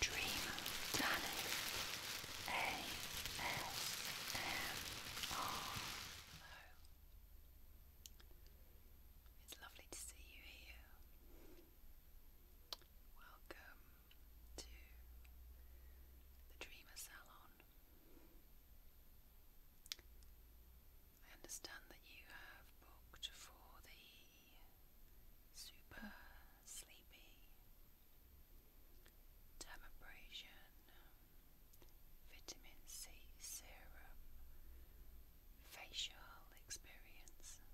Dream Danny It's lovely to see you here. Welcome to the Dreamer Salon. I understand that you have booked for the super sleepy, dermabrasion, vitamin C serum, facial experience.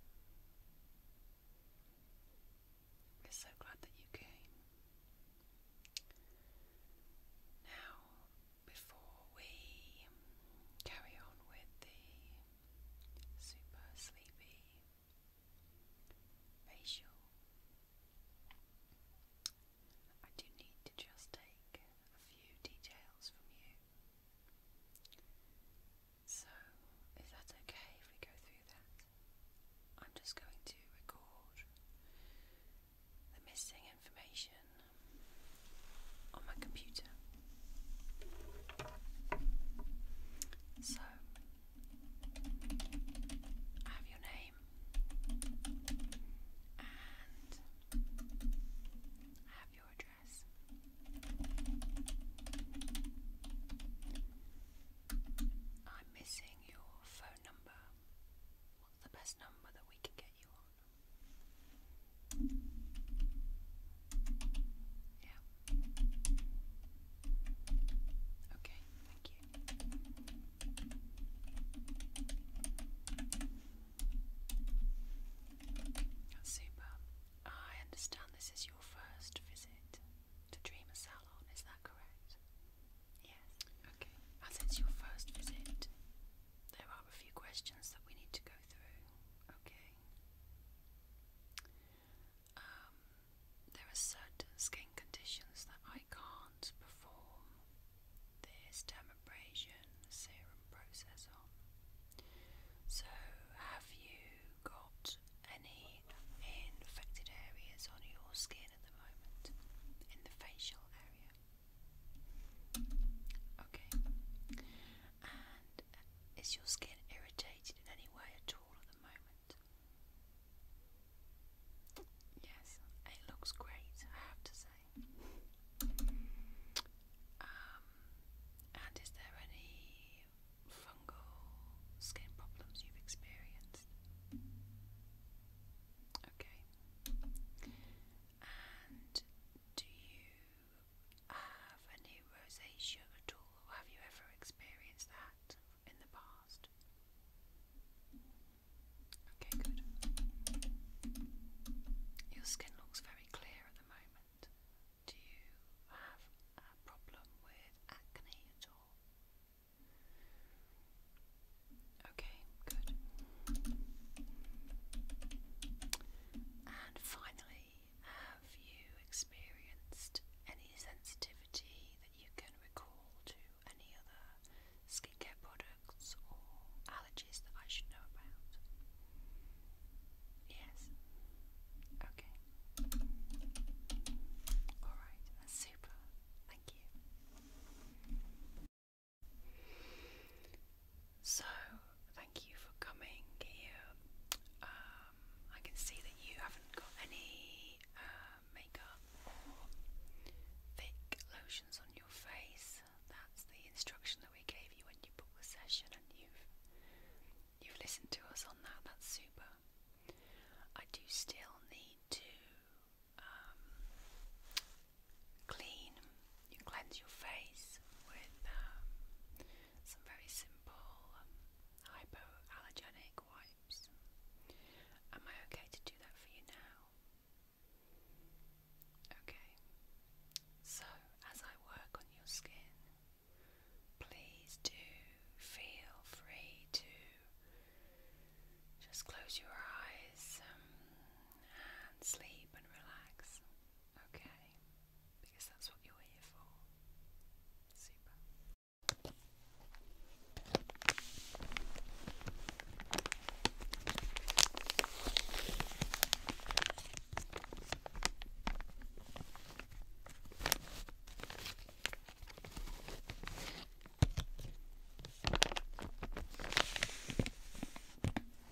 We're so glad that you came. Now, before we carry on with the super sleepy, facial. I do need to just take a few details from you. So, is that okay if we go through that? I'm just going to record the missing information on my computer. So, I have your name and I have your address. I'm missing your phone number. What's the best number that we can get you on? Yeah. Okay, thank you. super. I understand this is your first visit to Dreamer Salon, is that correct? Yes. Okay. As it's your first visit, there are a few questions that we need to go through. Okay. Um, there are certain skin conditions that I can't perform this dermabrasion serum process on. So, have you got any infected areas on your skin at the moment in the facial area? Okay, is your skin irritated in any way at all at the moment? Yes, it looks great, I have to say. Um, and is there any fungal skin problems you've experienced? Okay. And do you have a rosacea at all, have you ever experienced that in the past? Okay, good. Your skin looks very clear at the moment. Do you have a problem with acne at all? Okay, good. And finally, have you experienced any sensitivity that you can recall to any other skincare products or allergies that I should know about? Yes. Okay. Alright, that's super. Thank you. So, thank you for coming here. Um, I can see that you haven't got any uh, makeup or thick lotions on your face. That's the instruction that we gave you when you booked the session, and you've you've listened to us on that. That's super. I do still need to um, clean you cleanse your face with um, some very simple um, hypoallergenic wipes. Am I okay to do that for you now? Okay. So, as I work on your skin, please do feel free to just close your eyes um, and sleep and relax. Okay, because that's what you're here for. Super.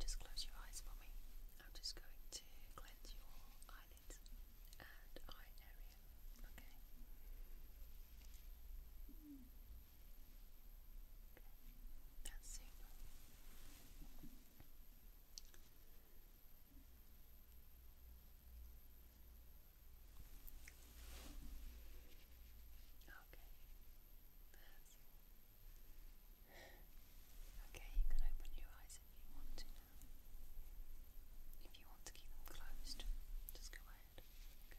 just close your eyes for I'm just going to cleanse your eyelids and eye area, okay? That's Okay. Okay, you can open your eyes if you want to If you want to keep them closed, just go ahead. Okay.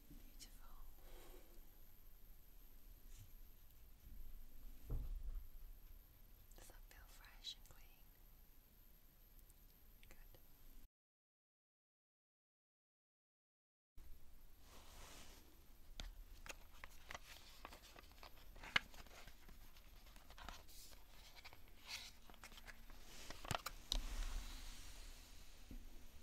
Beautiful. Does that feel fresh and clean? Good.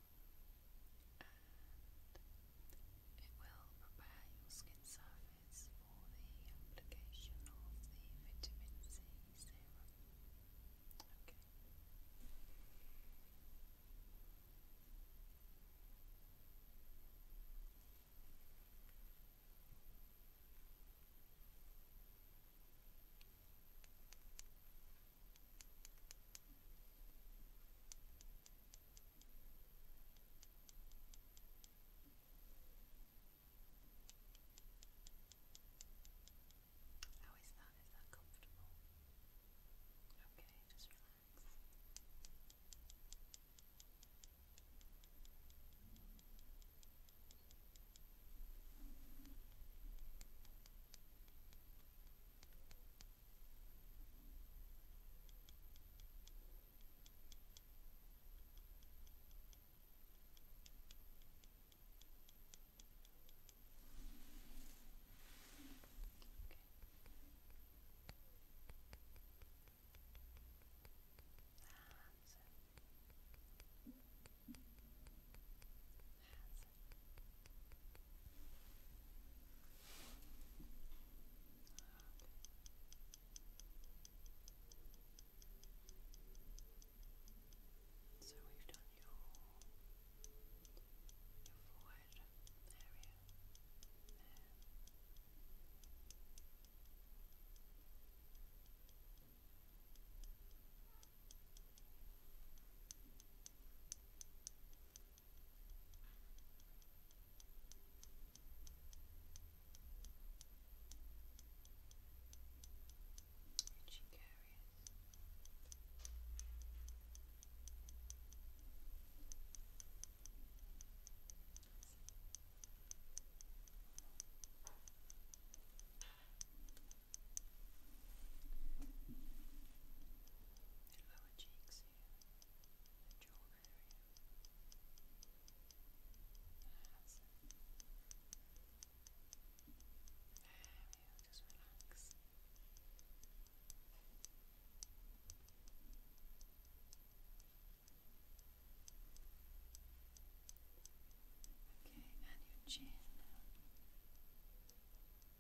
it will prepare your skin surface for the application of the vitamin C serum. Okay. How oh, is that? Is that comfortable? Okay, just relax. That's it. That's so we've done your your forehead area there. Now Itching areas. It lower cheeks here, the jaw area, that's it. There we are, just relax. Okay, and your chin now.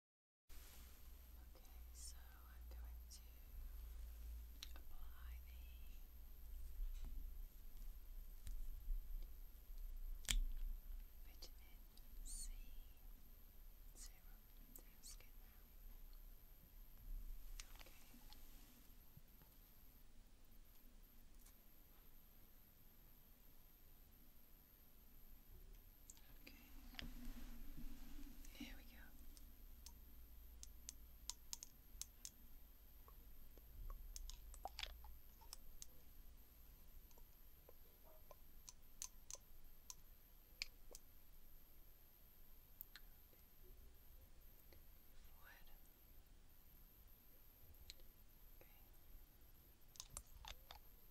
Okay, so I'm going to apply the vitamin C serum to your skin now. Okay, Okay. Here we go. Wood. Okay.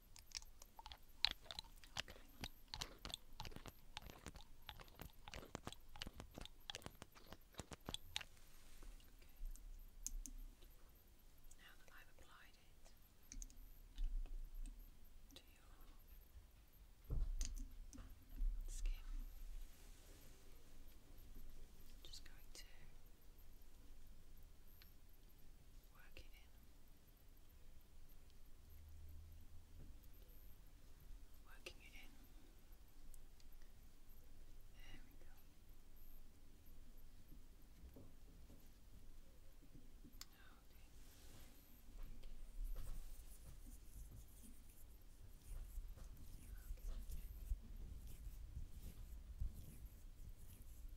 Now that I've applied it to your skin, I'm just going to work it in. Working it in. There we go. Okay. Okay. There we go.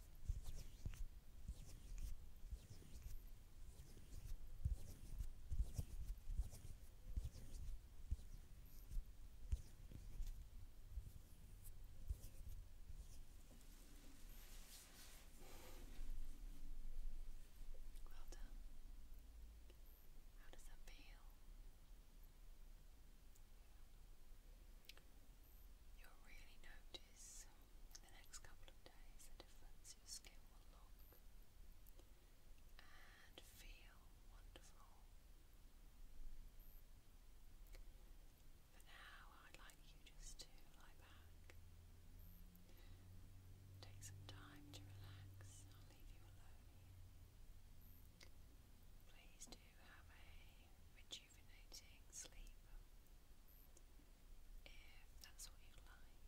Well done. How does that feel? You'll really notice in the next couple of days the difference your skin will look and feel wonderful. For now, I'd like you just to lie back. Take some time to relax. I'll leave you alone. Please do have a rejuvenating sleep if that's what you like,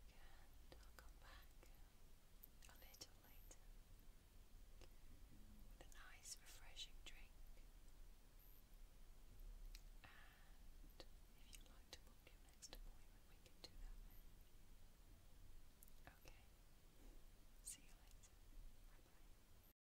and I'll come back um, a little later with a nice, refreshing drink. And if you'd like to book your next appointment, we can do that Okay, see you later. bye.